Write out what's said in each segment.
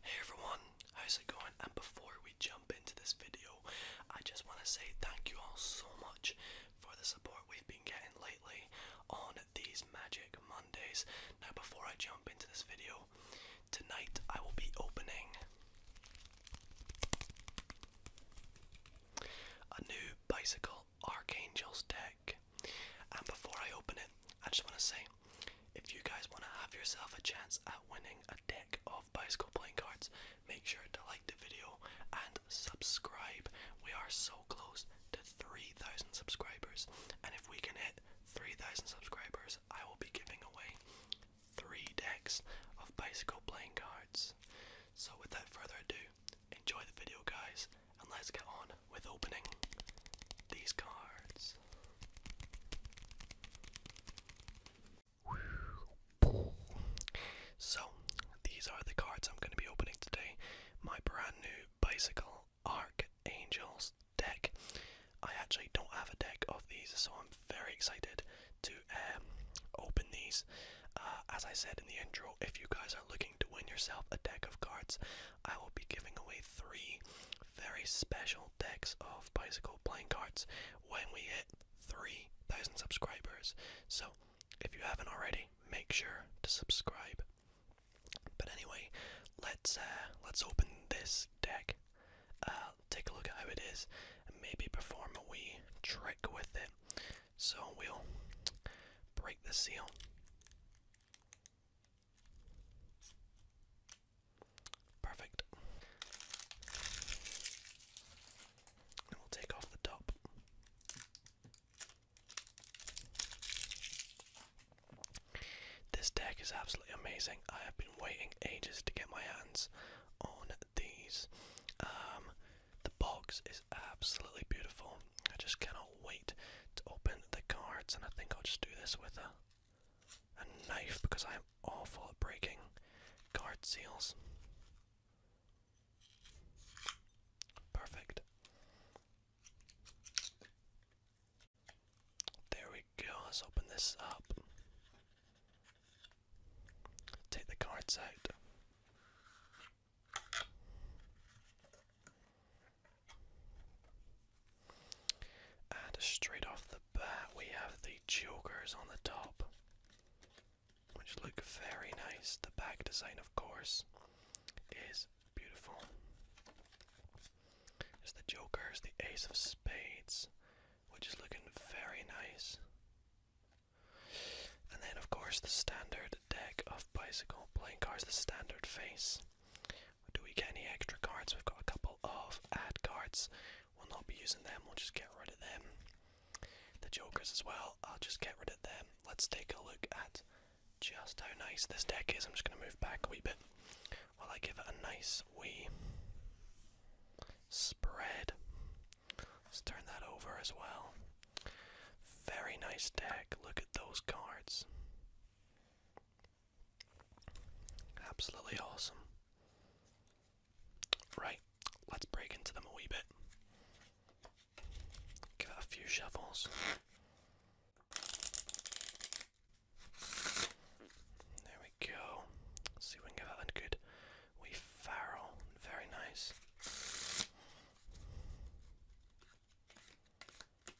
Hey everyone, how's it going? And before we jump into this video, I just want to say thank you all so much for the support we've been getting lately on these Magic Mondays. Now, before I jump into this video, tonight I will be opening a new Bicycle Archangels deck. And before I open it, I just want to say if you guys want to have yourself a chance at winning a deck of bicycle playing cards, make sure to like the video and subscribe. We are so close to 3,000 subscribers, and if we can hit 3,000 subscribers, I will be giving away three decks of bicycle playing cards. So, without further ado, enjoy the video, guys, and let's get on with opening these cards. So, these are the cards I'm going to be opening today. My brand new Bicycle Archangels deck. I actually don't have a deck of these, so I'm very excited to um, open these. Uh, as I said in the intro, if you guys are looking to win yourself a deck of cards, I will be giving away three very special decks of bicycle playing cards when we hit 3,000 subscribers. So if you haven't already, make sure to subscribe. But anyway, let's uh, let's open this deck. Uh, take a look at how it is, and maybe perform a wee trick with it. So we'll break the seal. Perfect. And we'll take off the top. This deck is absolutely amazing. I have been waiting ages to get my hands on these. Um, the box is absolutely beautiful. I just cannot wait to open the cards, and I think I'll just do this with a a knife because I am awful at breaking guard seals. Perfect. There we go. Let's open this up. Take the cards out. And straight off the bat, we have the jokers on the top, which look very nice. The back design, of course, is beautiful. There's the jokers, the ace of spades, which is looking very nice. And then, of course, the standard deck of bicycle playing cards, the standard face. Do we get any extra cards? We've got a couple of ad cards. We'll not be using them, we'll just get rid of them. The jokers as well, I'll just get rid of them. Let's take a look at just how nice this deck is. I'm just going to move back a wee bit while I give it a nice wee spread. Let's turn that over as well. Very nice deck. Look at those cards. Absolutely awesome. Right, let's break into them a wee bit. Give a few shovels. There we go. see if we can give that a good wee farrel. Very nice.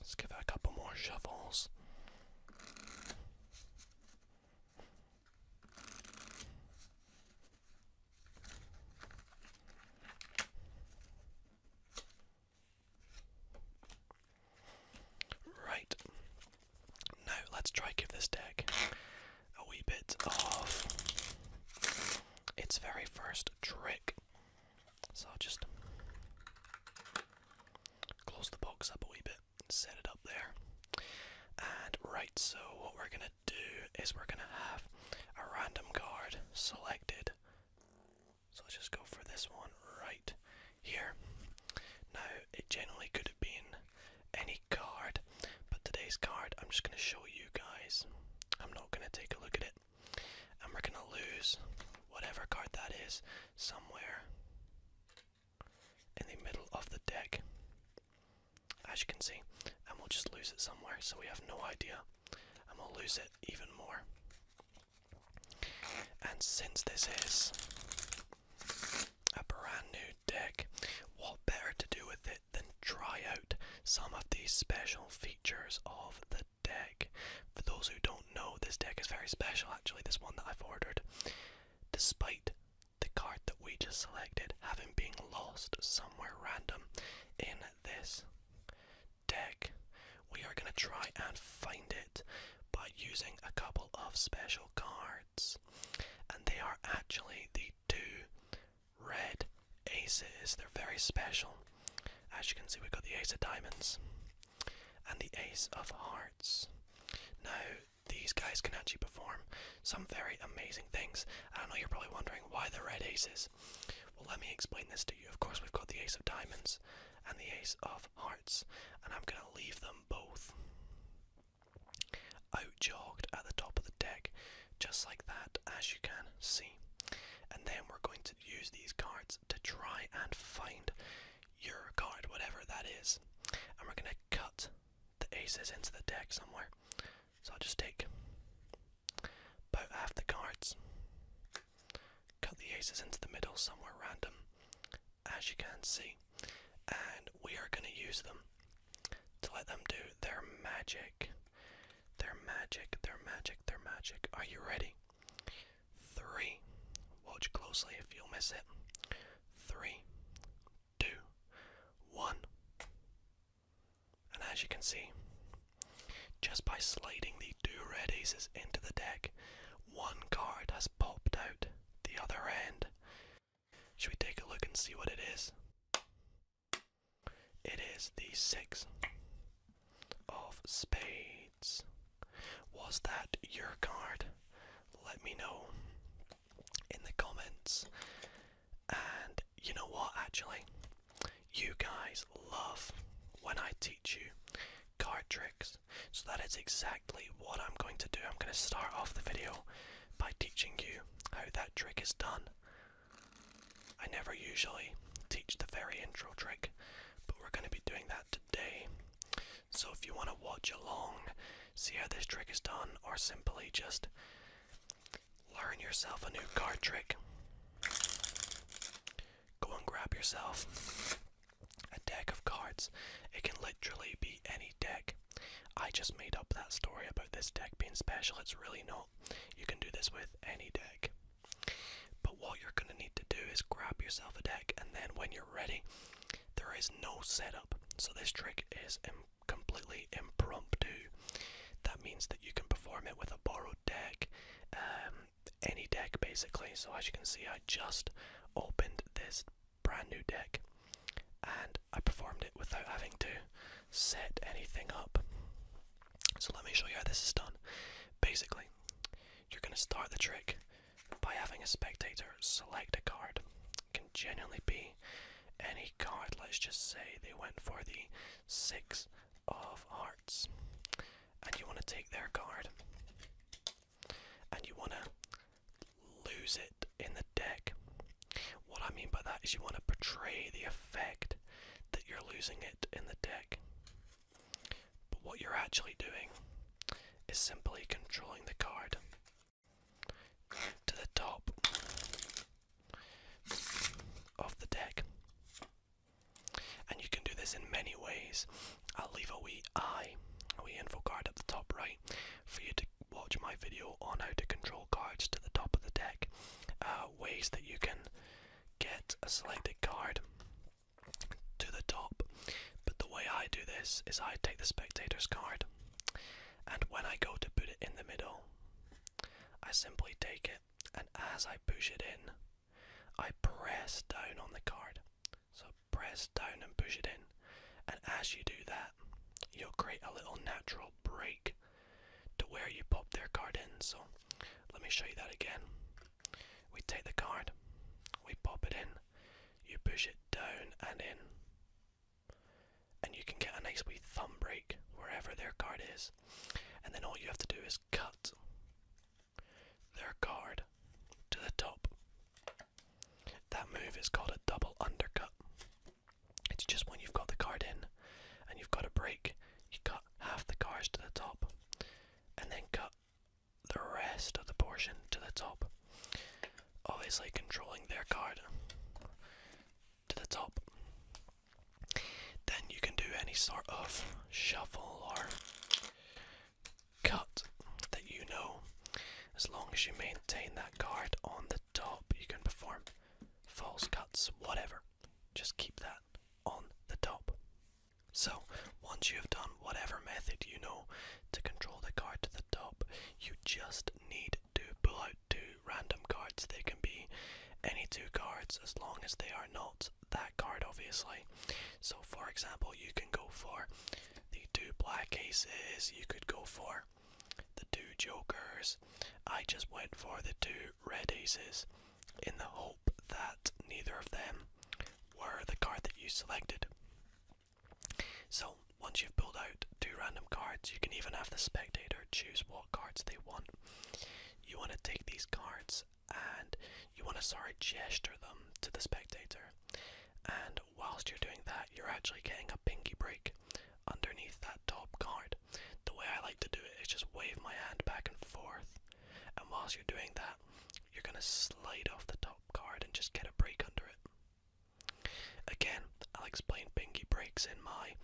Let's give it a couple more shovels. Right. Now let's try give this deck a wee bit of its very first trick. So I'll just close the box up a wee bit, set it up there. And right, so what we're gonna do is we're gonna have a random card selected. So let's just go for this one right here. Now, it generally could have been any card, but today's card I'm just going to show you guys. I'm not going to take a look at it, and we're going to lose whatever card that is somewhere in the middle of the deck, as you can see, and we'll just lose it somewhere so we have no idea, and we'll lose it even more. And since this is a brand new deck, what better to do with it than try out some of these special features of the deck? For those who don't know, this deck is very special actually, this one that I've ordered. Despite the card that we just selected having been lost somewhere random in this deck, we are going to try and find it by using a couple of special cards. And they are actually the two red aces. They're very special. As you can see, we've got the ace of diamonds and the ace of hearts. Now, these guys can actually perform some very amazing things. I know you're probably wondering why the red aces. Well, let me explain this to you. Of course, we've got the ace of diamonds and the ace of hearts, and I'm going to leave them both out jogged at the top of the deck, just like that, as you can see. And then we're going to use these cards to try and find your card, whatever that is. And we're going to cut the aces into the deck somewhere. So I'll just take about half the cards, cut the aces into the middle somewhere random, as you can see, and we are going to use them to let them do their magic. Their magic, their magic, their magic. Are you ready? Three. Watch closely if you'll miss it. Three, two, one. And as you can see, just by sliding the two red aces into the deck, one card has popped out the other end. Should we take a look and see what it is? It is the six of spades. Was that your card? Let me know in the comments. And you know what, actually? You guys love when I teach you card tricks. So that is exactly what I'm going to do. I'm going to start off the video by teaching you how that trick is done. I never usually teach the very intro trick, but we're going to be doing that today. So if you want to watch along, see how this trick is done, or simply just learn yourself a new card trick, go and grab yourself a deck of cards. It can literally be any deck. I just made up that story about this deck being special, it's really not. You can do this with any deck. But what you're going to need to do is grab yourself a deck, and then when you're ready, there is no setup. So this trick is completely impromptu. That means that you can perform it with a borrowed deck, um, any deck basically. So as you can see, I just opened this brand new deck, and I performed it without having to set anything up. So let me show you how this is done. Basically, you're going to start the trick by having a spectator select a card. can genuinely be any card. Let's just say they went for the six of hearts, and you want to take their card and you want to lose it in the deck. What I mean by that is you want to portray the effect that you're losing it in the deck. But what you're actually doing is simply controlling the card to the top of the deck. And you can do this in many ways. I'll leave a wee eye, a wee info card at the top right for you to watch my video on how to control cards to the top of the deck, uh, ways that you can get a selected card to the top. But the way I do this is I take the spectator's card, and when I go to put it in the middle, I simply take it, and as I push it in, I press down on the card. So press down and push it in. And as you do that, you'll create a little natural break to where you pop their card in. So let me show you that again. We take the card, we pop it in, you push it down and in, and you can get a nice wee thumb break wherever their card is. And then all you have to do is cut their card to the top that move is called a double undercut. It's just when you've got the card in and you've got a break, you cut half the cards to the top and then cut the rest of the portion to the top. Obviously, controlling their card to the top. Then you can do any sort of shuffle or cut that you know, as long as you maintain that card on the top. You can perform false cuts, whatever. Just keep that on the top. So, once you have done whatever method you know to control the card to the top, you just need to pull out two random cards. They can be any two cards as long as they are not that card, obviously. So, for example, you can go for the two black aces you could go for the two jokers i just went for the two red aces in the hope that neither of them were the card that you selected so once you've pulled out two random cards you can even have the spectator choose what cards they want you want to take these cards and you want to sorry gesture them to the spectator and whilst you're doing that, you're actually getting a pinky break underneath that top card. The way I like to do it is just wave my hand back and forth, and whilst you're doing that, you're going to slide off the top card and just get a break under it. Again, I'll explain pinky breaks in my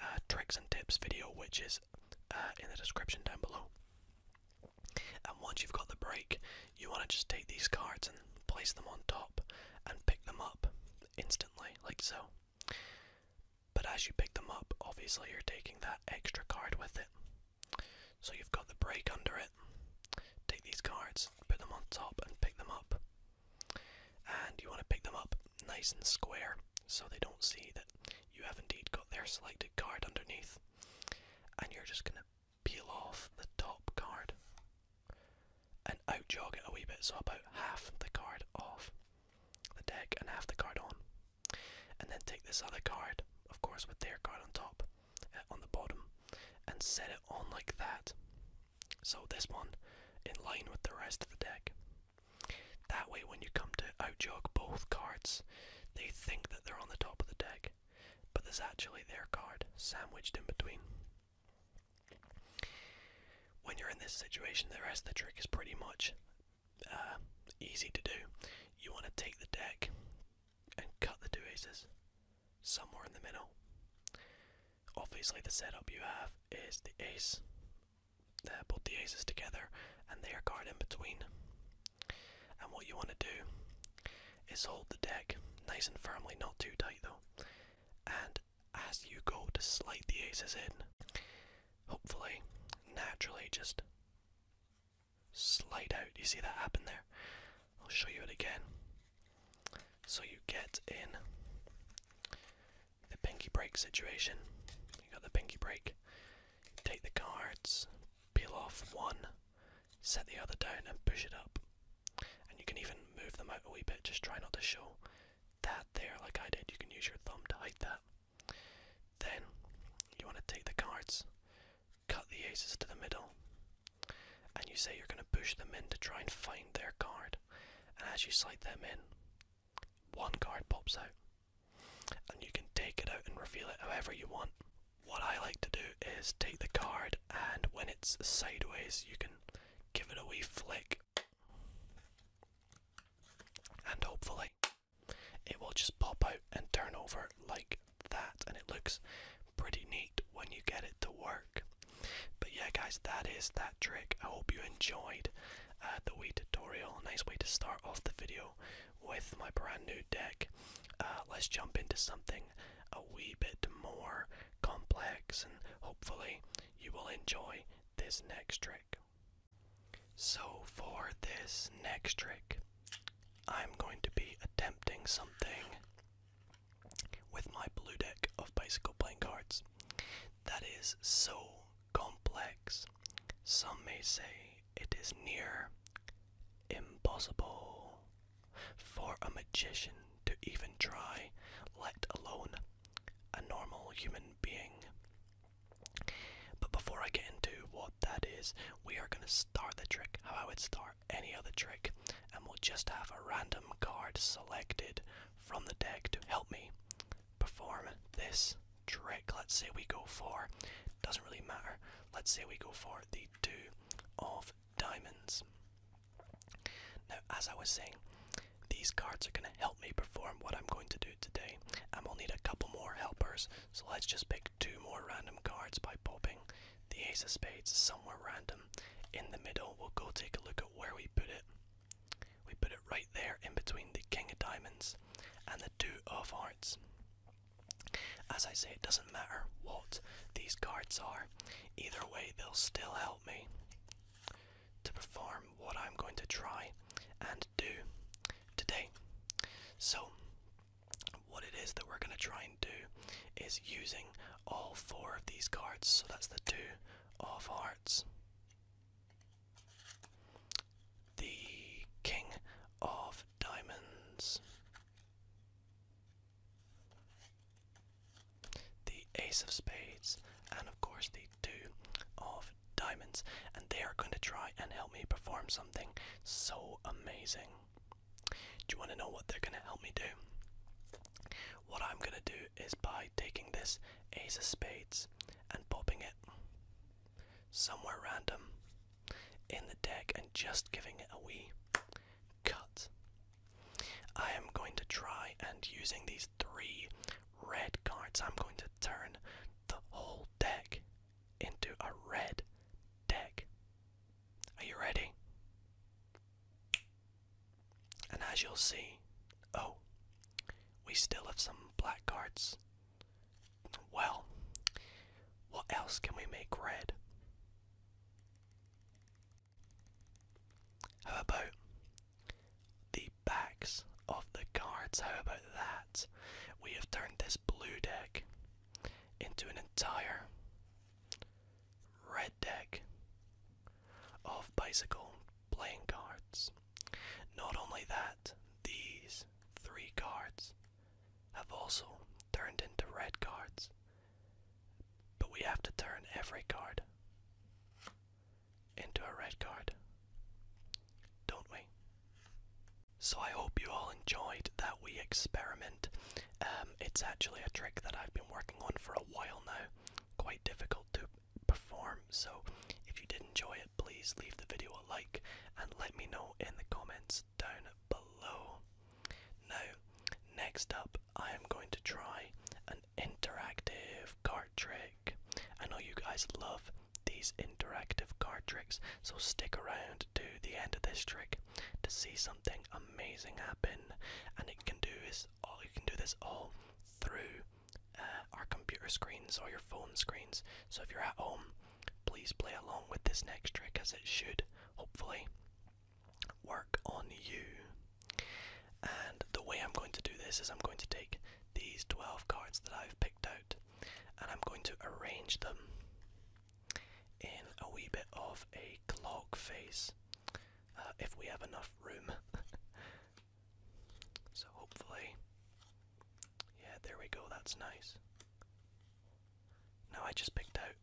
uh, tricks and tips video, which is uh, in the description down below. And once you've got the break, you want to just take these cards and place them on top and pick them up instantly, like so. But as you pick them up, obviously you're taking that extra card with it. So you've got the break under it. Take these cards, put them on top, and pick them up. And you want to pick them up nice and square so they don't see that you have indeed got their selected card underneath. And you're just going to peel off the top card and out jog it a wee bit, so about half the card off the deck and half the card on. And then take this other card, of course, with their card on top, uh, on the bottom, and set it on like that. So this one in line with the rest of the deck. That way, when you come to out jog both cards, they think that they're on the top of the deck, but there's actually their card sandwiched in between. When you're in this situation, the rest of the trick is pretty much uh, easy to do. You want to take the deck and cut the two aces somewhere in the middle. Obviously, the setup you have is the ace, uh, both the aces together, and they're card in between. And what you want to do is hold the deck nice and firmly, not too tight though, and as you go to slide the aces in, hopefully, naturally, just slide out. You see that happen there? I'll show you it again. So you get in the pinky break situation. You got the pinky break. Take the cards, peel off one, set the other down, and push it up and you can even move them out a wee bit. Just try not to show that there, like I did. You can use your thumb to hide that. Then you want to take the cards, cut the aces to the middle, and you say you're going to push them in to try and find their card. And as you slide them in, one card pops out. And you can take it out and reveal it however you want. What I like to do is take the card, and when it's sideways, you can give it a wee flick, and hopefully it will just pop out and turn over like that. And it looks pretty neat when you get it to work. But yeah, guys, that is that trick. I hope you enjoyed uh, the wee tutorial. Nice way to start off the video with my brand new deck. Uh, let's jump into something a wee bit more complex, and hopefully you will enjoy this next trick. So, for this next trick, I'm going to be attempting something with my blue deck of bicycle playing cards that is so complex, some may say it is near impossible. For a magician to even try, let alone a normal human being. But before I get into what that is, we are going to start the trick how I would start any other trick, and we'll just have a random card selected from the deck to help me perform this trick. Let's say we go for, doesn't really matter, let's say we go for the Two of diamonds. Now, as I was saying, these cards are going to help me perform what I'm going to do today. And we'll need a couple more helpers, so let's just pick two more random cards by popping the Ace of Spades somewhere random in the middle. We'll go take a look at where we put it. We put it right there in between the King of Diamonds and the Two of Hearts. As I say, it doesn't matter what these cards are, either way, they'll still help me to perform what I'm going to try and do today. So, what it is that we're going to try and do is using all four of these cards. So, that's the two of hearts, the king of diamonds, the ace of spades, and of course the two of diamonds. And they are going to try and help me perform something so amazing. Do you want to know what they're going to help me do? What I'm going to do is by taking this ace of spades and popping it somewhere random in the deck and just giving it a wee cut. I am going to try and using these three red cards, I'm going to turn the whole deck into a red deck. Are you ready? And as you'll see, oh, we still have some black cards. Well, what else can we make red? How about the backs of the cards? How about that? We have turned this blue deck into an entire red deck of bicycle playing cards. Not only that, these three cards have also turned into red cards. But we have to turn every card into a red card, don't we? So I hope you all enjoyed that we experiment. Um, it's actually a trick that I've been working on for a while now, quite difficult to perform. So if you did enjoy it, please leave the video a like and let me know in the comments down below. Now, next up I am going to try an interactive card trick. I know you guys love these interactive card tricks, so stick around to the end of this trick to see something amazing happen. And you can do this all through uh, our computer screens or your phone screens. So if you're at home, please play along with this next trick as it should hopefully work on you. And the way I'm going to do this is I'm going to take these 12 cards that I've picked out and I'm going to arrange them in a wee bit of a clock face uh, if we have enough room. so hopefully, yeah, there we go, that's nice. Now I just picked out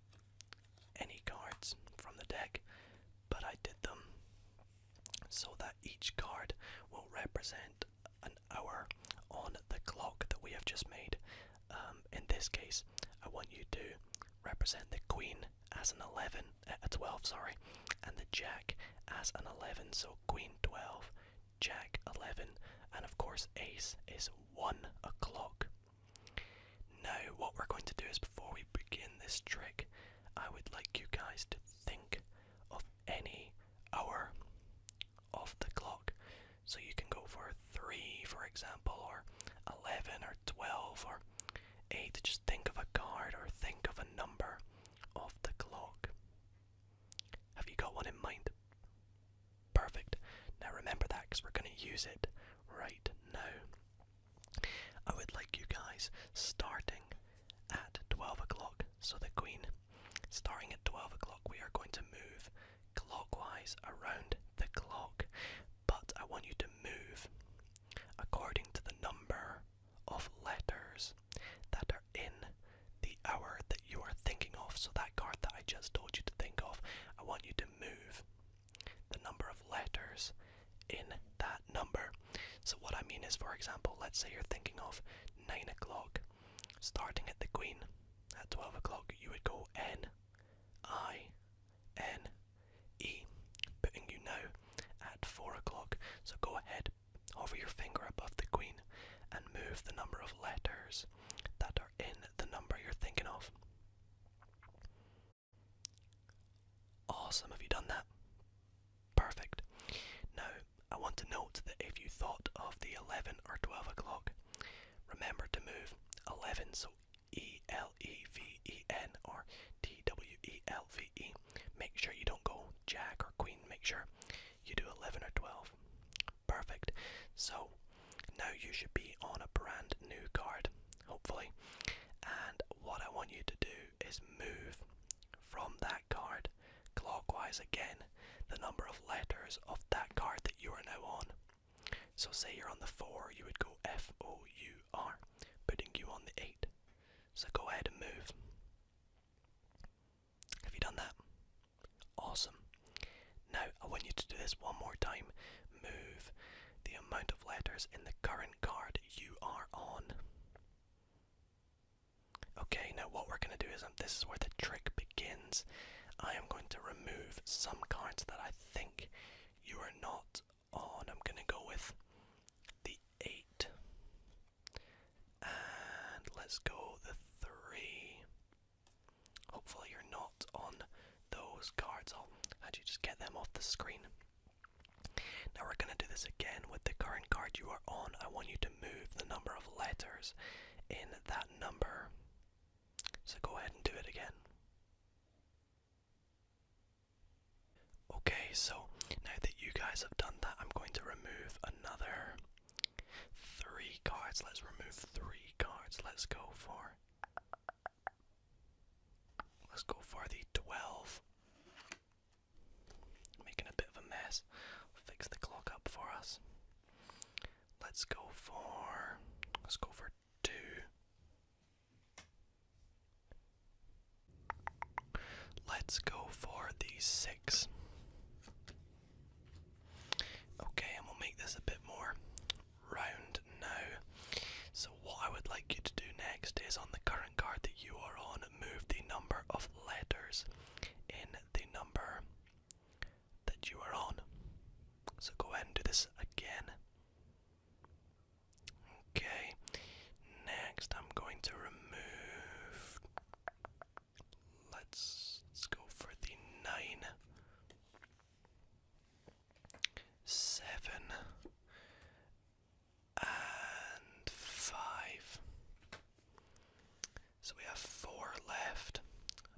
any cards from the deck, but I did them so that each card will represent an hour on the clock that we have just made. Um, in this case, I want you to represent the queen as an 11, uh, a 12, sorry, and the jack as an 11. So queen 12, jack 11, and of course ace is 1 o'clock. Now, what we're going to do is before we begin this trick, I would like you guys to think of any hour off the clock. So you can go for 3, for example, or 11, or 12, or 8. Just think of a card or think of a number of the clock. Have you got one in mind? Perfect. Now remember that because we're going to use it right now. I would like you guys starting at 12 o'clock. So, the Queen, starting at 12 o'clock, we are going to move clockwise around the clock, but I want you to move according to the number of letters that are in the hour that you are thinking of. So, that card that I just told you to think of, I want you to move the number of letters in that number. So, what I mean is, for example, let's say you're thinking of 9 o'clock, starting at the Queen at 12 o'clock, you would go N, I, N, E, putting you now at 4 o'clock. So, go ahead, over your finger above the Queen, and move the number of letters that are in the number you're thinking of. Awesome, have you done that? Perfect. Now, I want to note that if you thought of the 11 or 12 o'clock, remember to move 11, so E L E V E N or T W E L V E. Make sure you don't go Jack or Queen, make sure you do 11 or 12. Perfect. So now you should be on a brand new card, hopefully. And what I want you to do is move from that card clockwise again the number of letters of that card that you are now on. So, say you're on the 4, you would go F O U R, putting you on the 8. So, go ahead and move. Have you done that? Awesome. Now, I want you to do this one more time. Move the amount of letters in the current card you are on. Okay, now what we're going to do is um, this is where the trick begins. I am going to remove some cards that I think you are not on. I'm going to go with the 8. And let's go the 3. Hopefully, you're not on those cards. Oh, how do you just get them off the screen? Now we're going to do this again with the current card you are on. I want you to move the number of letters in that number. So go ahead and do it again. Okay, so now that you guys have done that, I'm going to remove another three cards. Let's remove three cards. Let's go for Let's go for the 12. Making a bit of a mess. Fix the clock up for us. Let's go for. Let's go for 2. Let's go for the 6. Okay, and we'll make this a bit more round now. So, what I would like you to do next is on the current card that you are on, move the number of letters in the number that you are on. So, go ahead and do this again. Okay, next I'm going to remove. Let's, let's go for the nine, seven, and five. So we have four left.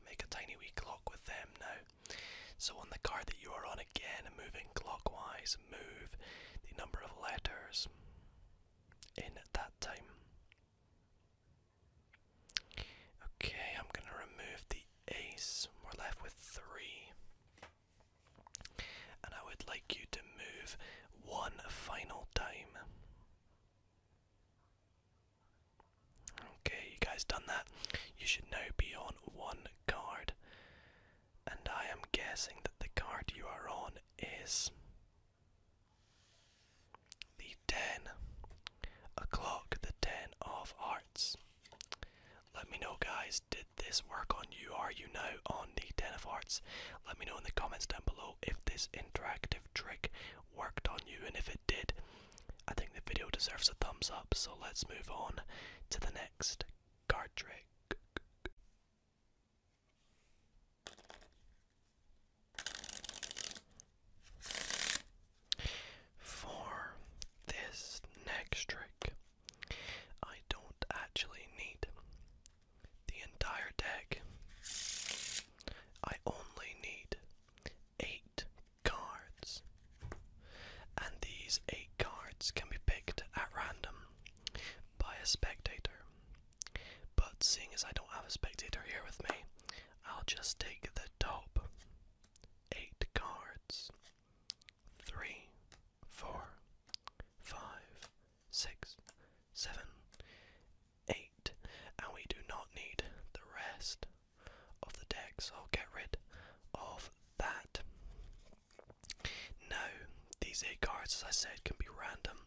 make a tiny wee clock with them now. So on the card that you are on again, moving clockwise, move the number of letters in that time. Okay, I'm gonna remove the ace. We're left with three. And I would like you to move one final time. Okay, you guys done that. You should now be on one card. And I am guessing that the card you are on is the 10 o'clock, the 10 of hearts. Let me know, guys. Did this work on you? Are you now on the Ten of Hearts? Let me know in the comments down below if this interactive trick worked on you, and if it did, I think the video deserves a thumbs up. So let's move on to the next card trick. For this next trick, I don't actually need the entire deck. I only need eight cards. And these eight cards can be picked at random by a spectator. But seeing as I don't have a spectator here with me, I'll just take the top eight cards. Three, four, five, six, seven, eight, and we do not need the rest of the deck, so I'll get rid of that. Now, these eight cards, as I said, can be random.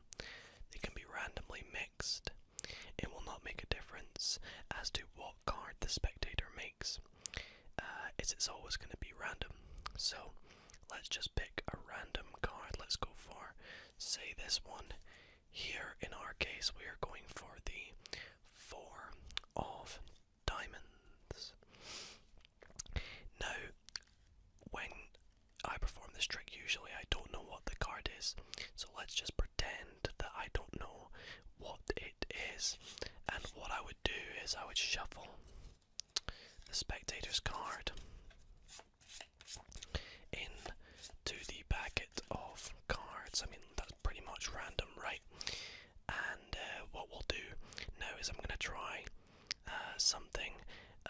They can be randomly mixed. It will not make a difference as to what card the spectator makes. Uh, is it's always going to be random. So let's just pick a random card. Let's go for, say, this one. Here in our case, we are going for the Four of Diamonds. Now, when I perform this trick, usually I don't know what the card is, so let's just pretend that I don't know what it is. And what I would do is I would shuffle the spectator's card into the packet of cards. I mean, that's pretty much random, right? And uh, what we'll do now is I'm going to try uh, something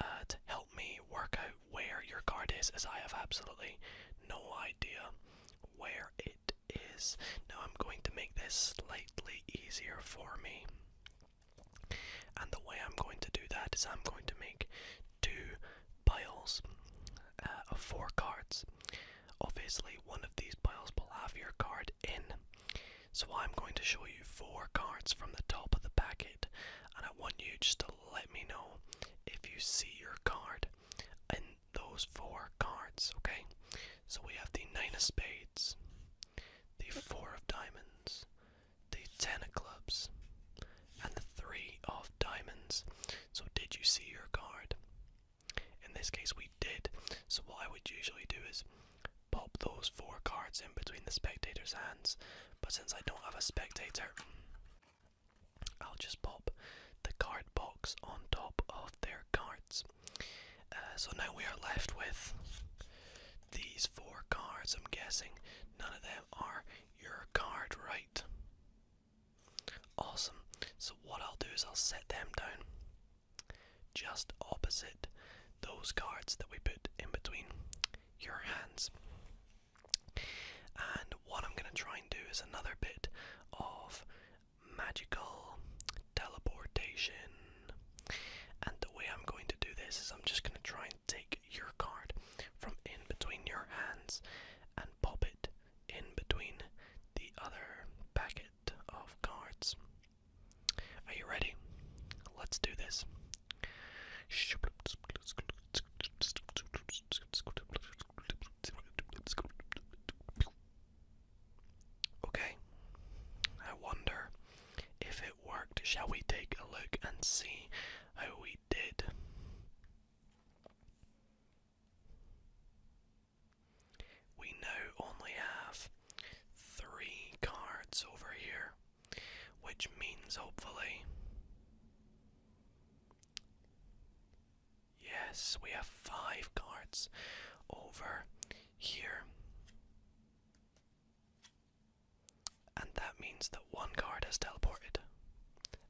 uh, to help me work out where your card is, as I have absolutely no idea where it is. Now, I'm going to make this slightly easier for me. And the way I'm going to do that is I'm going to make two piles uh, of four cards. Obviously, one of these piles will have your card in. So I'm going to show you four cards from the top of the packet, and I want you just to let me know if you see your card in those four cards, okay? So we have the Nine of Spades, the four of diamonds, the ten of clubs, and the three of diamonds. So, did you see your card? In this case, we did. So, what I would usually do is pop those four cards in between the spectator's hands. But since I don't have a spectator, I'll just pop the card box on top of their cards. Uh, so now we are left with these four cards. I'm guessing none of them are your card, right? Awesome. So, what I'll do is I'll set them down just opposite those cards that we put in between your hands. And what I'm going to try and do is another bit of magical teleportation. And the way I'm going to do this is I'm just going to try and take your card from in between your hands and pop it in between the other packet of cards. Are you ready? Let's do this. Okay, I wonder if it worked. Shall we take a look and see how we did? We now only have three cards over here, which means hopefully. Yes, we have five cards over here. And that means that one card has teleported,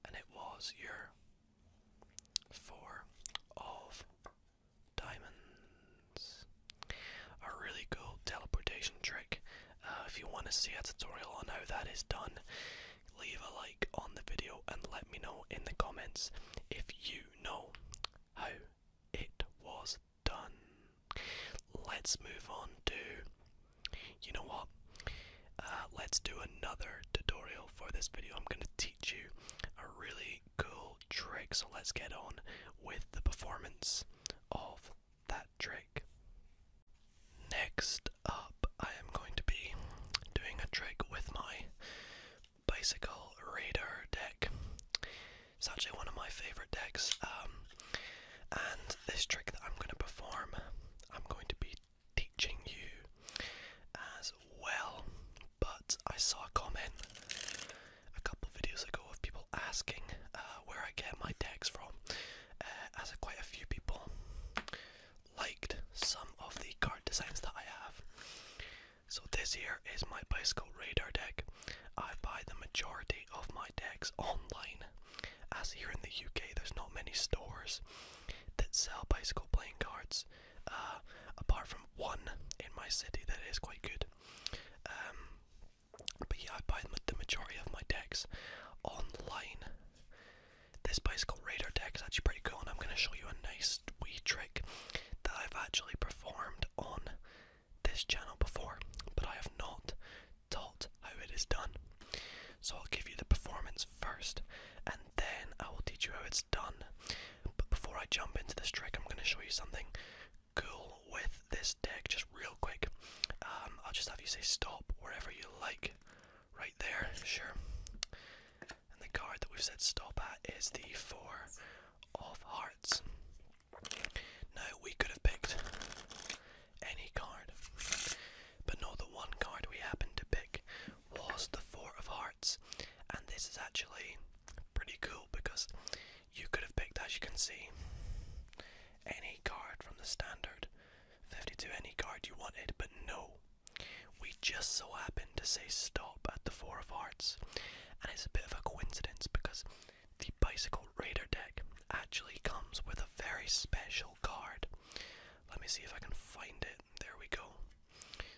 and it was your four of diamonds. A really cool teleportation trick. Uh, if you want to see a tutorial on how that is done, leave a like on the video and let me know in the comments if you know how it was done. Let's move on to. You know what? Uh, let's do another tutorial for this video. I'm going to teach you a really cool trick. So let's get on with the performance of that trick. Next up, I am going to be doing a trick with my bicycle radar deck. It's actually one of my favorite decks, um, and this trick that I'm going to perform, I'm going to be teaching you as well. But I saw a comment a couple videos ago of people asking uh, where I get my decks from, uh, as quite a few people liked some of the card designs that I have. So this here is my bicycle radar deck. I buy the majority of my decks online, as here in the UK there's not many stores that sell bicycle playing cards, uh, apart from one in my city that is quite good. Um, but yeah, I buy the majority of my decks online. This bicycle radar deck is actually pretty cool, and I'm going to show you a nice wee trick that I've actually performed on this channel before, but I have not taught how it is done. So I'll give you the performance first, and then I will teach you how it's done. But before I jump into this trick, I'm going to show you something cool with this deck, just real quick. Um, I'll just have you say stop wherever you like, right there, sure. And the card that we've said stop at is the Four of Hearts cards. we could have picked any card, but no, the one card we happened to pick was the Four of Hearts, and this is actually pretty cool because you could have picked, as you can see, any card from the standard 52, any card you wanted, but no, we just so happened to say stop at the Four of Hearts, and it's a bit of a coincidence because the Bicycle Raider deck actually comes with a very special card. Let me see if I can find it. There we go.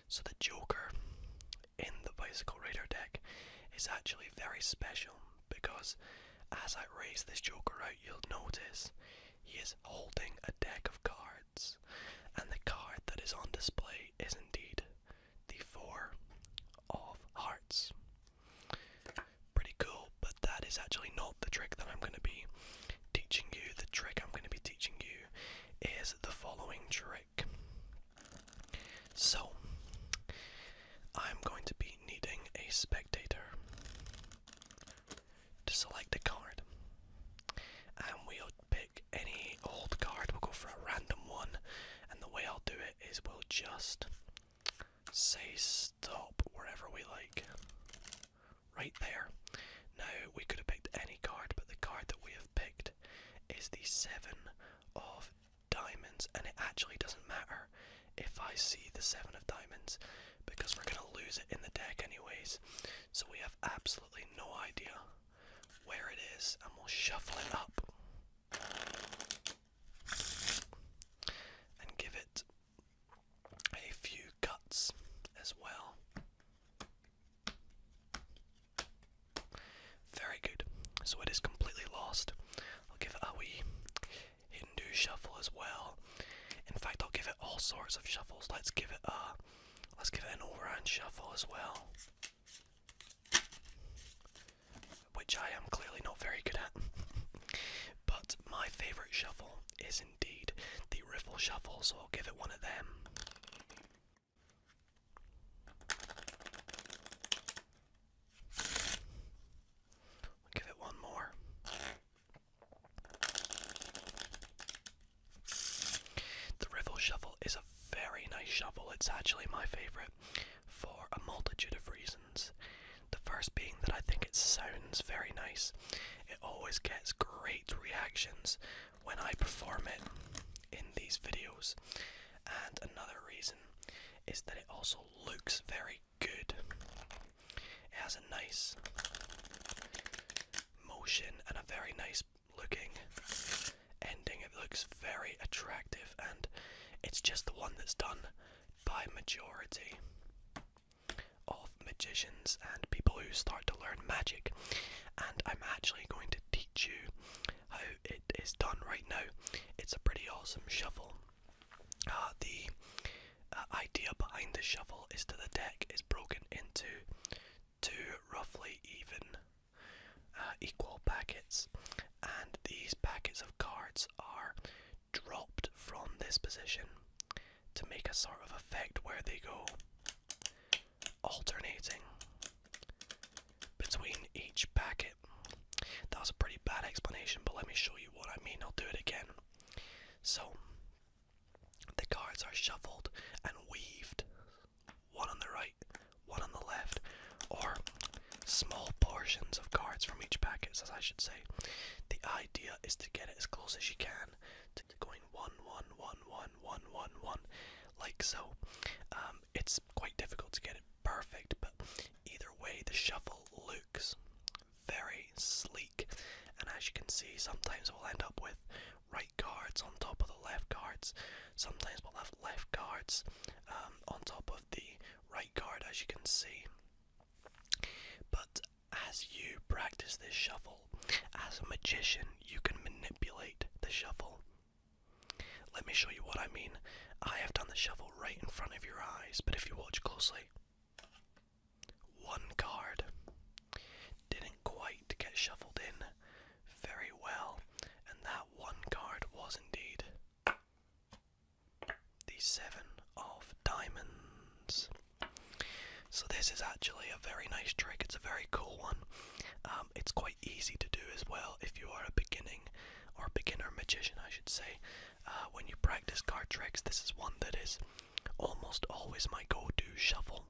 So, the Joker in the Bicycle Raider deck is actually very special because as I raise this Joker out, you'll notice he is holding a deck of cards, and the card that is on display is indeed the Four of Hearts. Pretty cool, but that is actually not the trick that I'm going to be teaching you. The trick I'm going to be teaching you is the following trick. So, I'm going to be needing a spectator to select a card. And we'll pick any old card, we'll go for a random one, and the way I'll do it is we'll just say stop wherever we like. Right there. Now, we could have picked any card, but the card that we have picked is the Seven of Diamonds, and it actually doesn't matter if I see the Seven of Diamonds because we're going to lose it in the deck, anyways. So we have absolutely no idea where it is, and we'll shuffle it up and give it a few cuts as well. Very good. So it is completely lost. I'll give it a wee Hindu shuffle as well. In fact, I'll give it all sorts of shuffles. Let's give it a let's give it an all-round shuffle as well which I am clearly not very good at. but my favourite shuffle is indeed the Riffle Shuffle, so I'll give it one of them. give it one more. The Riffle Shuffle is a very nice shuffle, it's actually my favourite for a multitude of reasons. The first being that I think it sounds very nice. It always gets great reactions when I perform it in these videos. And another reason is that it also looks very good. It has a nice motion and a very nice looking ending. It looks very attractive, and it's just the one that's done by majority of magicians and people who start to learn magic. And I'm actually going to teach you how it is done right now. It's a pretty awesome shuffle. Uh, the uh, idea behind the shuffle is that the deck is broken into two roughly even uh, equal packets, and these packets of cards are dropped from this position to make a sort of effect where they go alternating between each packet. That was a pretty bad explanation, but let me show you what I mean. I'll do it again. So, the cards are shuffled and weaved one on the right, one on the left, or small portions of cards from each packet, as I should say. The idea is to get it as close as you can to going one, one, one, one, one, one, one, like so. Um, it's quite difficult to get it perfect, but either way, the shuffle looks very sleek, and as you can see, sometimes we'll end up with right cards on top of the left cards, Sometimes we'll have left guards um, on top of the right guard, as you can see. But as you practice this shuffle, as a magician, you can manipulate the shuffle. Let me show you what I mean. I have done the shuffle right in front of your eyes, but if you watch closely, one card didn't quite get shuffled in very well, and that one card was indeed the seven of diamonds. So this is actually a very nice trick. It's a very cool one. Um, it's quite easy to do as well if you are a beginning or beginner magician, I should say. Uh, when you practice card tricks, this is one that is almost always my go-to shuffle,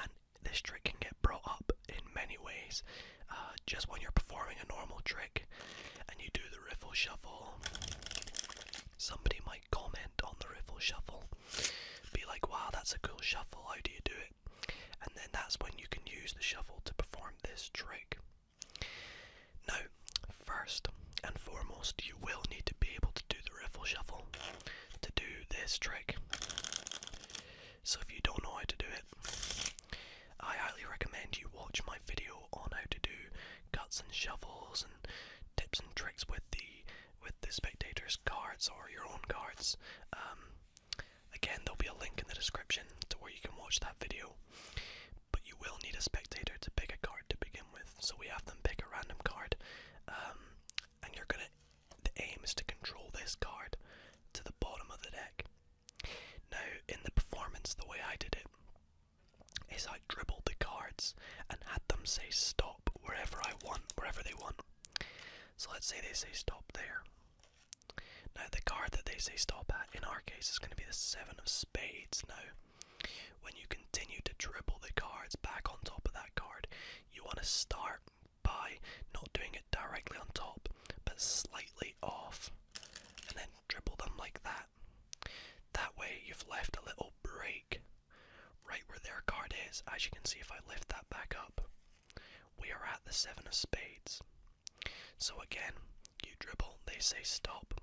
and this trick can get brought up in many ways. Uh, just when you're performing a normal trick and you do the riffle shuffle, somebody might comment on the riffle shuffle, be like, wow, that's a cool shuffle, how do you do it? And then that's when you can use the shuffle to perform this trick. Now, first and foremost, you will need to be able to do the riffle shuffle to do this trick. So if you don't know how to do it, I highly recommend you watch my video on how to do cuts and shovels and tips and tricks with the with the spectators cards or your own cards. Um, again, there'll be a link in the description to where you can watch that video. But you will need a spectator to pick a card to begin with. So we have them pick a random card, um, and you're gonna. The aim is to control this card to the bottom of the deck. Now, in the performance, the way I did it is I dribbled the cards and had them say stop wherever I want, wherever they want. So let's say they say stop there. Now, the card that they say stop at in our case is going to be the Seven of Spades. Now, when you continue to dribble the cards back on top of that card, you want to start by not doing it directly on top, but slightly off and then dribble them like that. That way, you've left a little break right where their card is. As you can see, if I lift that back up, we are at the seven of spades. So again, you dribble, they say stop.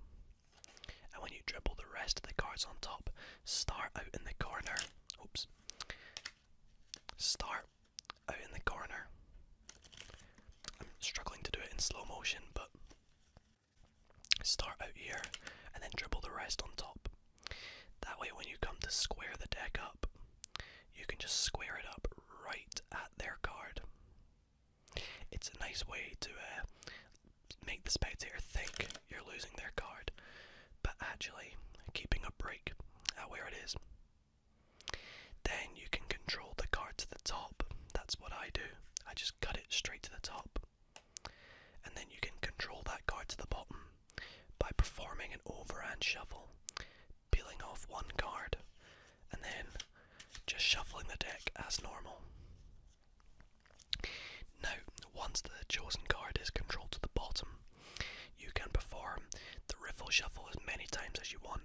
And when you dribble the rest of the cards on top, start out in the corner. Oops. Start out in the corner. I'm struggling to do it in slow motion, but start out here and then dribble the rest on top. That way, when you come to square the deck up, you can just square it up right at their card. It's a nice way to uh, make the spades here think you're losing their card, but actually keeping a break at where it is. Then you can control the card to the top. That's what I do. I just cut it straight to the top. And then you can control that card to the bottom by performing an overhand shuffle, peeling off one card, and then just shuffling the deck as normal. Now, once the chosen card is controlled to the bottom, you can perform the riffle shuffle as many times as you want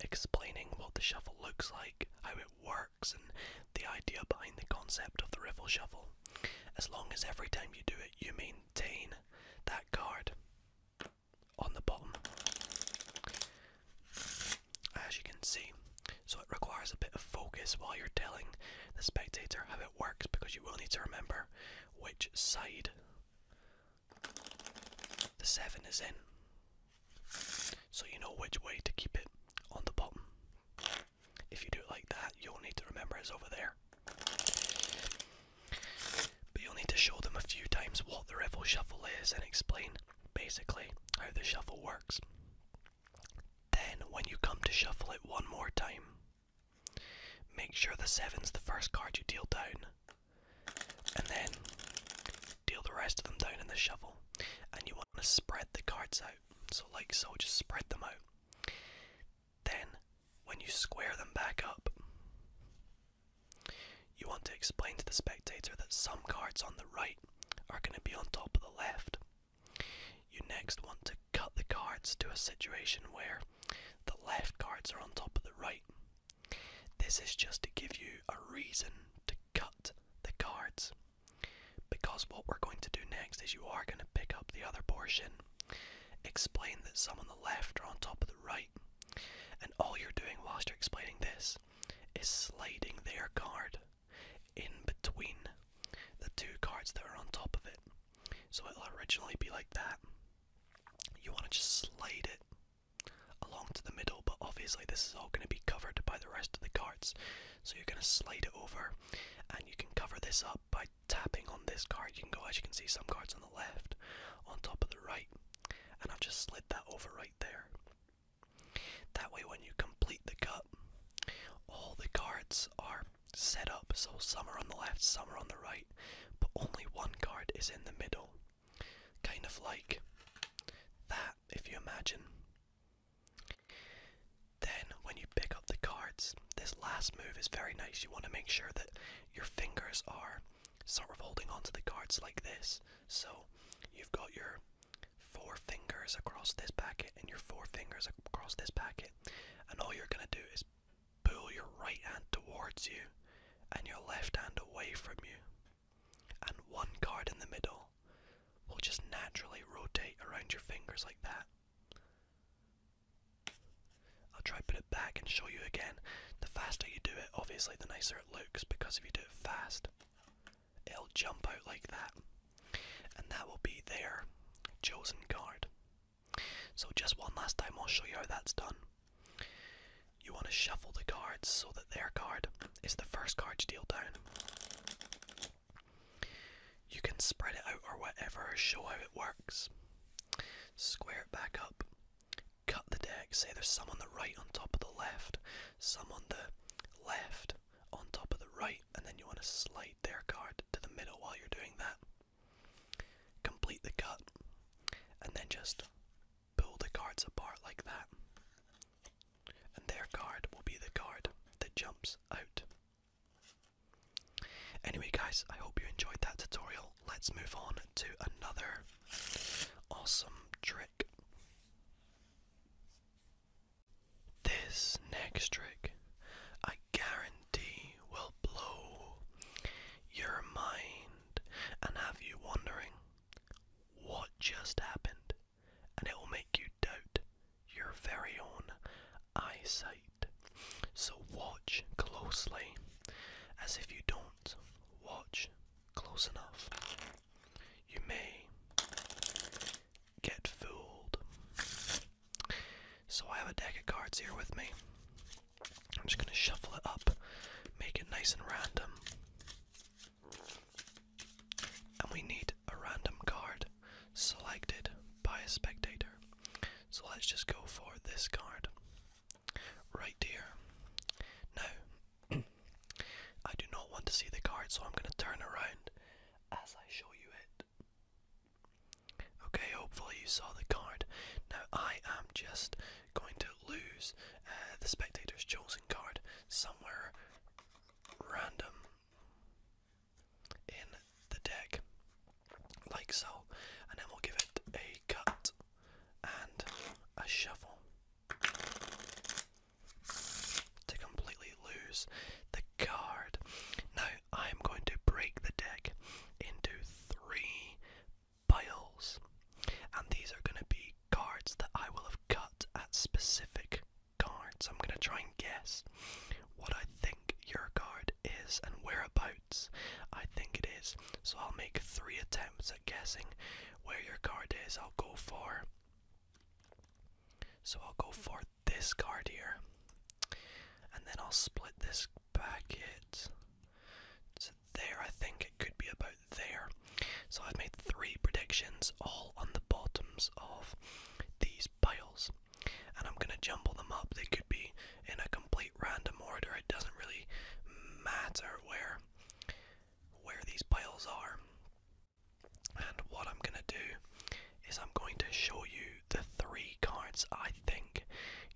explaining what the shuffle looks like, how it works, and the idea behind the concept of the riffle shuffle. As long as every time you do it, you maintain that card on the bottom, as you can see. So it requires a bit of focus while you're telling the spectator how it works because you will need to remember which side the 7 is in. So you know which way to keep it on the bottom. If you do it like that, you'll need to remember it's over there. But you'll need to show them a few times what the riffle shuffle is and explain basically how the shuffle works. Then, when you come to shuffle it one more time, make sure the seven's the first card you deal down and then deal the rest of them down in the shovel. And you want to spread the cards out, so like so, just spread them out. Then, when you square them back up, you want to explain to the spectator that some cards on the right are going to be on top of the left. You next want to cut the cards to a situation where the left cards are on top of the right, this is just to give you a reason to cut the cards. Because what we're going to do next is you are going to pick up the other portion, explain that some on the left are on top of the right, and all you're doing whilst you're explaining this is sliding their card in between the two cards that are on top of it. So it'll originally be like that. You want to just slide it along to the middle, but obviously this is all going to be covered by the rest of the cards. So you're going to slide it over and you can cover this up by tapping on this card. You can go, as you can see, some cards on the left, on top of the right, and I've just slid that over right there. That way, when you complete the cut, all the cards are set up so some are on the left, some are on the right, but only one card is in the middle. Kind of like that, if you imagine. Then, when you pick up the cards, this last move is very nice. You want to make sure that your fingers are sort of holding onto the cards like this. So, you've got your four fingers across this packet and your four fingers across this packet, and all you're going to do is pull your right hand towards you and your left hand away from you and one card in the middle will just naturally rotate around your fingers like that. I'll try put it back and show you again. The faster you do it, obviously the nicer it looks because if you do it fast, it'll jump out like that. And that will be their chosen card. So just one last time I'll show you how that's done. You want to shuffle the cards so that their card is the first card to deal down. You can spread it out or whatever, show how it works. Square it back up. Cut the deck. Say there's some on the right on top of the left, some on the left on top of the right, and then you want to slide their card to the middle while you're doing that. Complete the cut, and then just pull the cards apart like that. And their card will be the card that jumps out. Anyway, guys, I hope you enjoyed that tutorial. Let's move on to another awesome trick. This next trick, I guarantee, will blow your mind and have you wondering what just happened, and it will make you doubt your very own eyesight. So watch closely, as if you don't watch close enough, you may get fooled. So I have a deck of cards here with me. I'm just going to shuffle it up, make it nice and random. And we need a random card selected by a spectator. So let's just go for this card right here. Now, I do not want to see the card, so I'm going to turn around as I show you it. Okay, hopefully you saw the card. Now, I am just going to lose uh, the spectator's chosen card somewhere random in the deck, like so, and then we'll give it a cut and a shuffle to completely lose the card. Now, I'm going to break the deck into three Biles. And these are going to be cards that I will have cut at specific cards. I'm going to try and guess what I think your card is and whereabouts I think it is. So I'll make three attempts at guessing where your card is. I'll go for. So I'll go for this card here. And then I'll split this packet to there. I think it could be about there. So I've made three predictions, all on the bottoms of these piles, and I'm gonna jumble them up. They could be in a complete random order. It doesn't really matter where where these piles are. And what I'm gonna do is I'm going to show you the three cards I think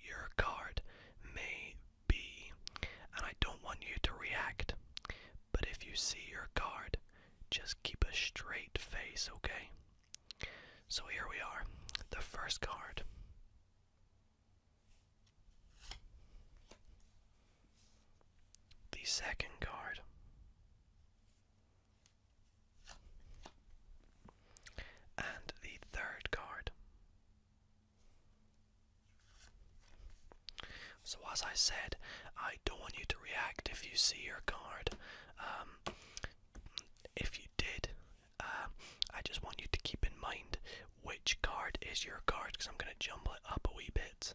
your card may B. And I don't want you to react. But if you see your card, just keep a straight face, okay? So here we are, the first card. The second card. And the third card. So, as I said, I don't want you to react if you see your card. Um, if you did, um, I just want you to keep in mind which card is your card because I'm going to jumble it up a wee bit.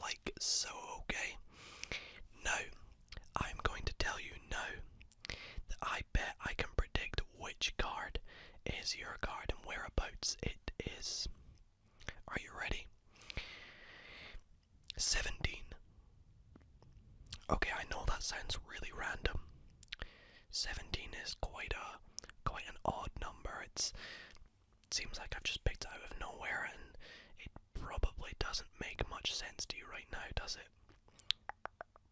Like so, okay? No, I'm going to tell you no. that I bet I can predict which card is your card and whereabouts it is. Are you ready? 17. Okay, I know that sounds really random. 17 is quite a quite an odd number. it seems like I've just picked out of nowhere and it probably doesn't make much sense to you right now, does it?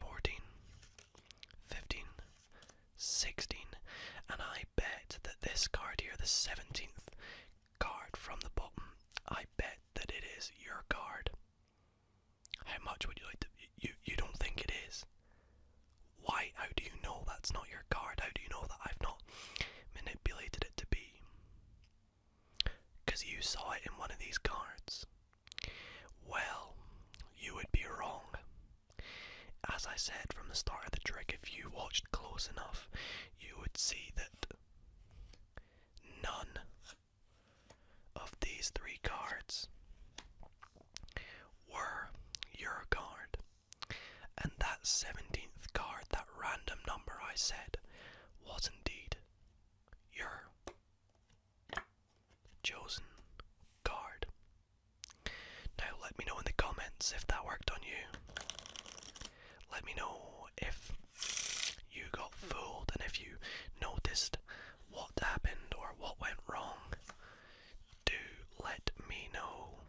14, 15, 16, and I bet that this card here, the 17th card from the bottom, I bet that it is your card. How much would you like to? You you don't think it is? Why? How do you know that's not your card? How do you know that I've not manipulated it to be? Because you saw it in one of these cards. Well, you would be wrong. As I said from the start of the trick, if you watched close enough, you would see that none of these three cards were your card. And that 17th card, that random number I said, was indeed your chosen card. Now, let me know in the comments if that worked on you. Let me know if you got fooled and if you noticed what happened or what went wrong. Do let me know.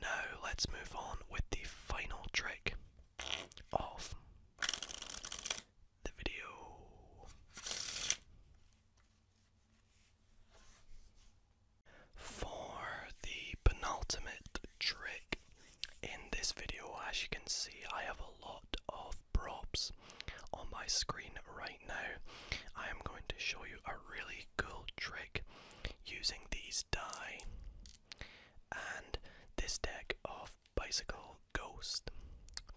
Now, let's move on with the final trick of the video. For the penultimate trick in this video, as you can see, I have a lot of props on my screen right now. I am going to show you a really cool trick using these die and this deck of bicycle ghost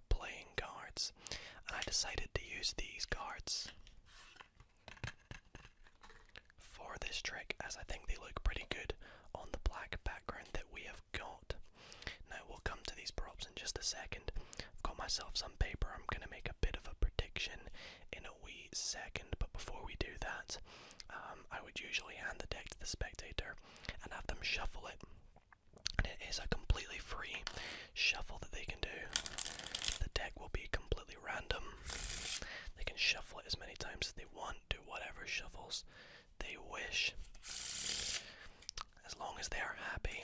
playing cards. I decided to use these cards for this trick as I think they look pretty good on the black background that we have got. Now we'll come to these props in just a second. I've got myself some paper, I'm going to make a bit of a prediction in a wee second, but before we do that, um, I would usually hand the deck to the spectator and have them shuffle it and it is a completely free shuffle that they can do. The deck will be completely random. They can shuffle it as many times as they want, do whatever shuffles they wish. As long as they are happy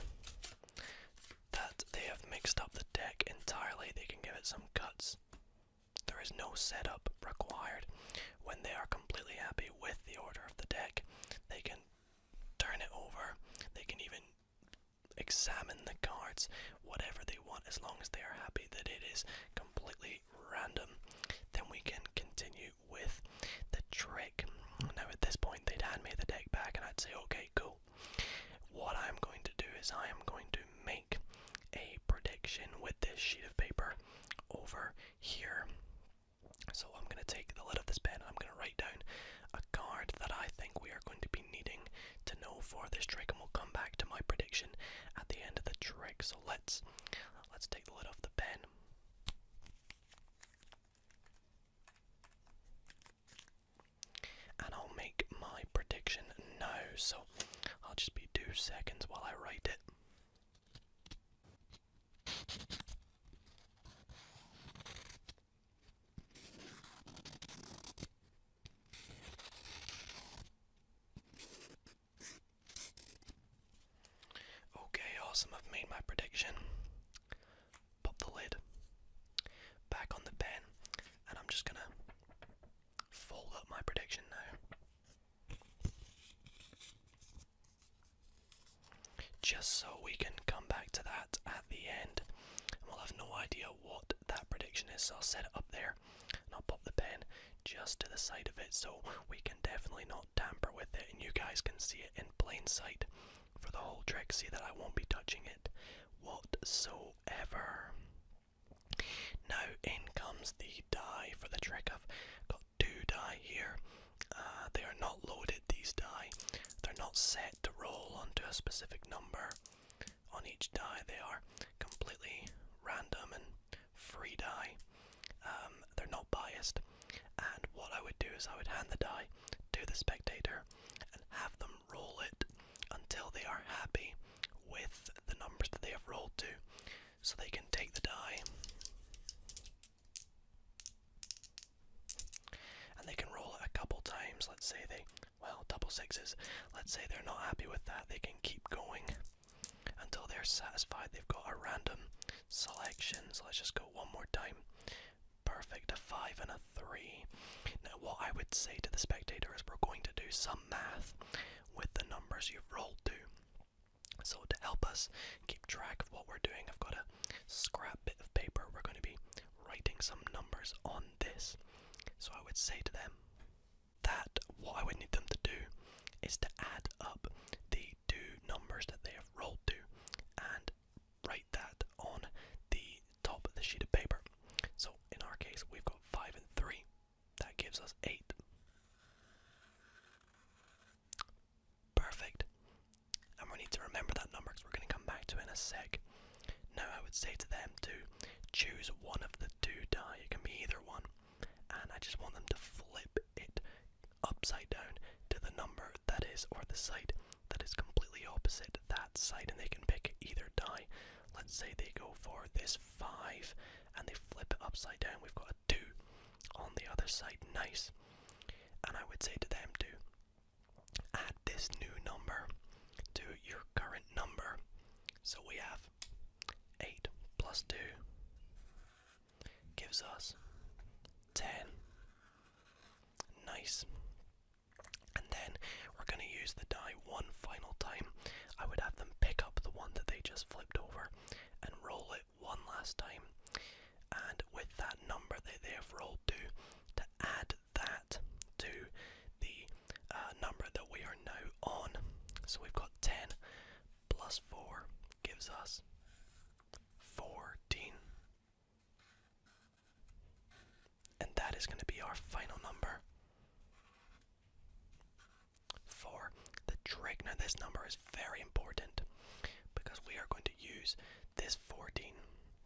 that they have mixed up the deck entirely, they can give it some cuts. There is no setup required. When they are completely happy with the order of the deck, they can turn it over. They can even examine the cards whatever they want as long as they are happy that it is completely random then we can continue with the trick now at this point they'd hand me the deck back and i'd say okay cool what i'm going to do is i am going to make a prediction with this sheet of paper over here so i'm going to take the lid of this pen and i'm going to write down a card that I think we are going to be needing to know for this trick, and we'll come back to my prediction at the end of the trick. So let's let's take the lid off the pen. And I'll make my prediction now, so I'll just be two seconds while I write it. Okay, awesome. I've made my prediction. Pop the lid back on the pen, and I'm just gonna fold up my prediction now just so we can come back to that at the end. And we'll have no idea what that prediction is, so I'll set it up there and I'll pop the pen just to the side of it so we can definitely not tamper with it and you guys can see it in plain sight for the whole trick. See that I won't be touching it whatsoever. Now in comes the die for the trick. I've got two die here. Uh, they are not loaded these die. They're not set to roll onto a specific number on each die, they are completely random and free die. Um, they're not biased. And what I would do is I would hand the die to the spectator and have them roll it until they are happy with the numbers that they have rolled to. So they can take the die and they can roll it a couple times. Let's say they, well, double sixes. Let's say they're not happy with that. They can keep going until they're satisfied. They've got a random selection. So let's just go one more time. Perfect. A five and a three. Now, what I would say to the spectator is we're going to do some math with the numbers you've rolled to. So to help us keep track of what we're doing, I've got a scrap bit of paper. We're going to be writing some numbers on this. So I would say to them that what I would need them to do is to add up the two numbers that they have rolled to and write that on the top of the sheet of paper. So in our case, we've got 5 and 3. That gives us 8. Perfect and we need to remember that number because we're going to come back to it in a sec. Now, I would say to them to choose one of the two die, it can be either one, and I just want them to flip it upside down to the number that is, or the side that is completely opposite that side, and they can pick either die. Let's say they go for this 5 and they flip it upside down, we've got a 2 on the other side, nice. And I would say to them to add this new number to your current number. So we have 8 plus 2 gives us 10. Nice. And then we're going to use the die one final time. I would have them pick up the one that they just flipped over and roll it one last time. And with that number that they have rolled to, to add that to the uh, number that we are now on. So we've got 10 plus 4 gives us 14. And that is going to be our final number for the trig. Now, this number is very important because we are going to use this 14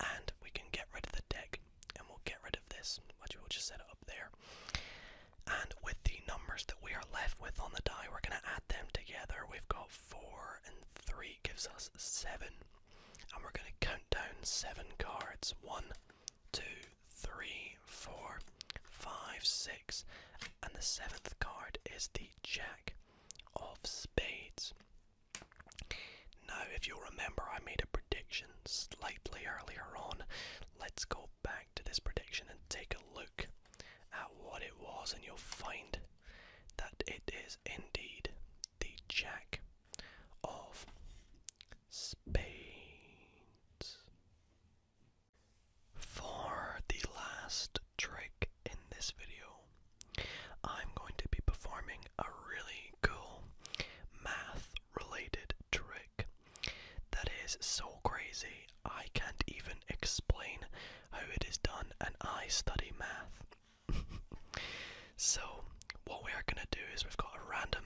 and we can get rid of the deck and we'll get rid of this which we'll just set it up there and with the numbers that we are left with on the die we're going to add them together we've got four and three gives us seven and we're going to count down seven cards one two three four five six and the seventh card is the jack of spades now, if you'll remember, I made a prediction slightly earlier on. Let's go back to this prediction and take a look at what it was, and you'll find that it is indeed the Jack of Spades. For the last trick in this video, I'm going to be performing a really cool math related trick that is so crazy I can't even explain how it is done, and I study math. so, what we are going to do is we've got a random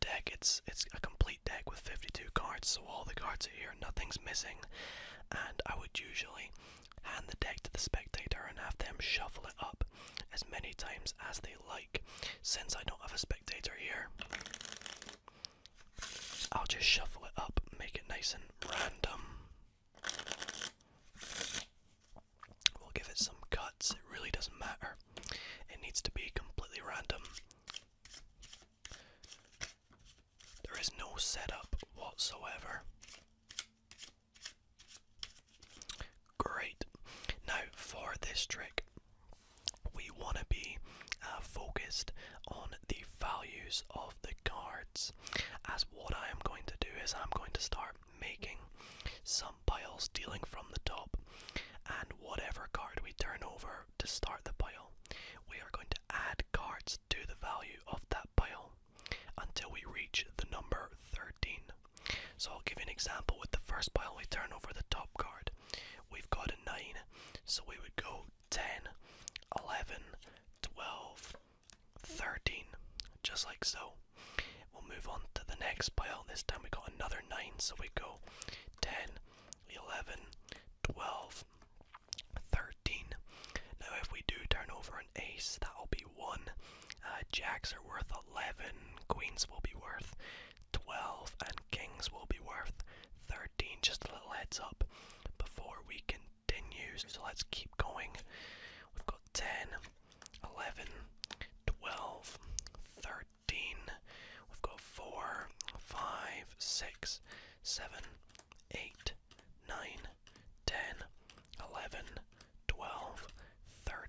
deck, it's, it's a complete deck with 52 cards, so all the cards are here, nothing's missing, and I would usually hand the deck to the spectator and have them shuffle it up as many times as they like. Since I don't have a spectator here, I'll just shuffle it up, make it nice and random. We'll give it some cuts, it really doesn't matter. It needs to be completely random. There is no setup whatsoever. Great. Now, for this trick, we want to be uh, focused on the values of the cards. As what I am going to do is, I'm going to start making some piles dealing from the top, and whatever card we turn over to start the pile, we are going to add cards to the value of that pile until we reach the number 13. So I'll give you an example with the first pile we turn over the top card. We've got a 9, so we would go 10, 11, 12, 13, just like so. We'll move on to the next pile. This time we got another 9, so we go 10, 11, 12, 13. Now if we do turn over an ace, that'll be 1. Uh, jacks are worth 11, queens will be worth 12, and kings will be worth 13. Just a little heads up before we continue. So let's keep going. We've got 10, 11, 12, 13. We've got 4, 5, 6, 7, 8, 9, 10, 11, 12, 13.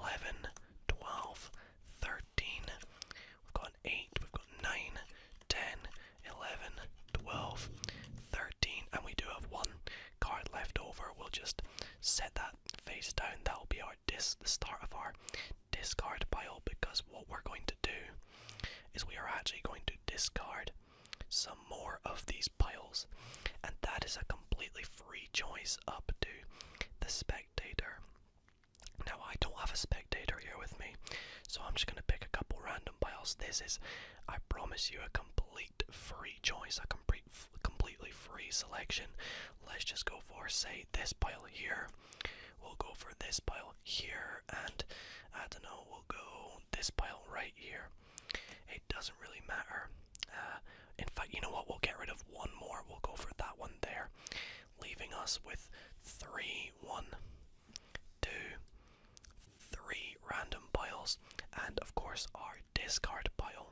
11, 12, 13. We've got 8, we've got 9, 10, 11, 12, 13. And we do have one card left over. We'll just set that face down. That'll be our disc, the start of our discard pile because what we're going to do is we are actually going to discard some more of these piles and that is a completely free choice up to the spectator now, I don't have a spectator here with me, so I'm just going to pick a couple random piles. This is, I promise you, a complete free choice, a complete, completely free selection. Let's just go for, say, this pile here. We'll go for this pile here, and I don't know, we'll go this pile right here. It doesn't really matter. Uh, in fact, you know what? We'll get rid of one more. We'll go for that one there leaving us with three, one, two, three random piles, and of course our discard pile.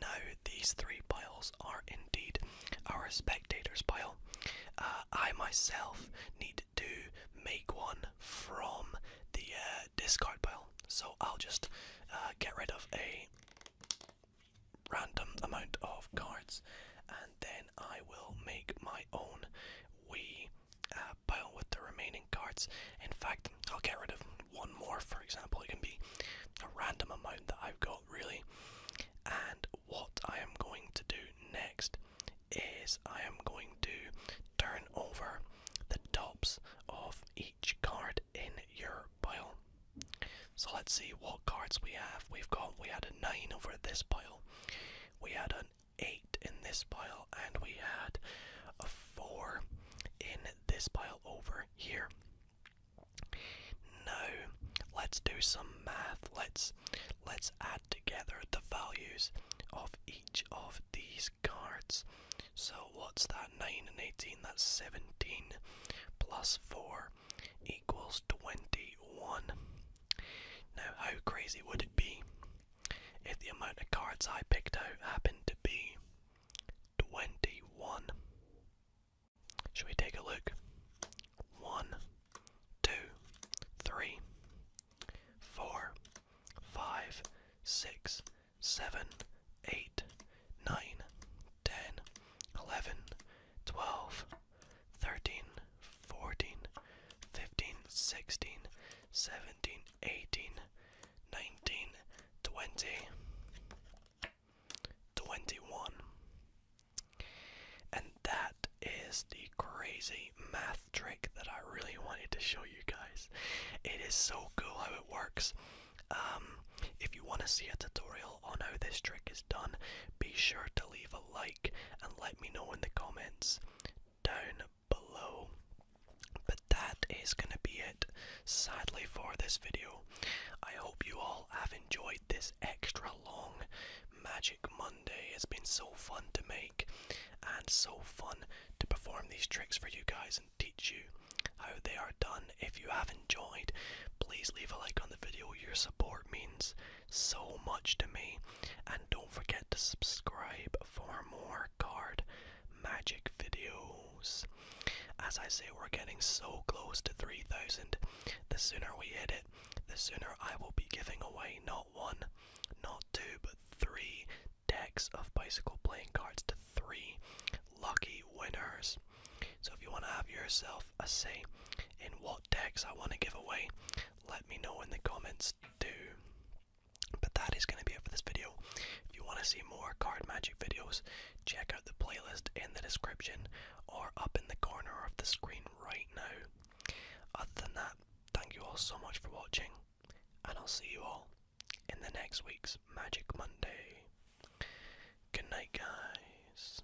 Now, these three piles are indeed our spectators pile. Uh, I myself need to make one from the uh, discard pile, so I'll just uh, get rid of a random amount of cards, and then I will make my own wee uh, pile with the remaining cards. In fact, I'll get rid of one more, for example. It can be a random amount that I've got, really. And what I am going to do next is I am going to turn over the tops of each card in your pile. So let's see what cards we have. We've got we had a nine over this pile, we had an eight in this pile, and we had a four in this pile over here. Now let's do some math. Let's let's add together the values of each of these cards. So what's that? Nine and eighteen, that's seventeen plus 4 equals 21. Now, how crazy would it be if the amount of cards I picked out happened to be 21? Should we take a look? 1, 2, 3, 4, 5, 6, 7, 8, 9, 10, 11, 12, 13, 14, 15, 16, 17, 18, 19, 20, 21. And that is the crazy math trick that I really wanted to show you guys. It is so cool how it works. Um, if you want to see a tutorial on how this trick is done, be sure to leave a like and let me know in the comments down below. But that is going to be it, sadly, for this video. I hope you all have enjoyed this extra long Magic Monday. It's been so fun to make and so fun to perform these tricks for you guys and teach you how they are done. If you have enjoyed, please leave a like on the video. Your support means so much to me. And don't forget to subscribe for more card magic videos. As I say, we're getting so close to 3,000. The sooner we hit it, the sooner I will be giving away not one, not two, but three decks of bicycle playing cards to three lucky winners. So if you want to have yourself a say in what decks I want to give away, let me know in the comments too. But that is going to be it for this video. If you want to see more card magic videos, check out the playlist in the description or up in the corner of the screen right now. Other than that, thank you all so much for watching, and I'll see you all in the next week's Magic Monday. Good night, guys.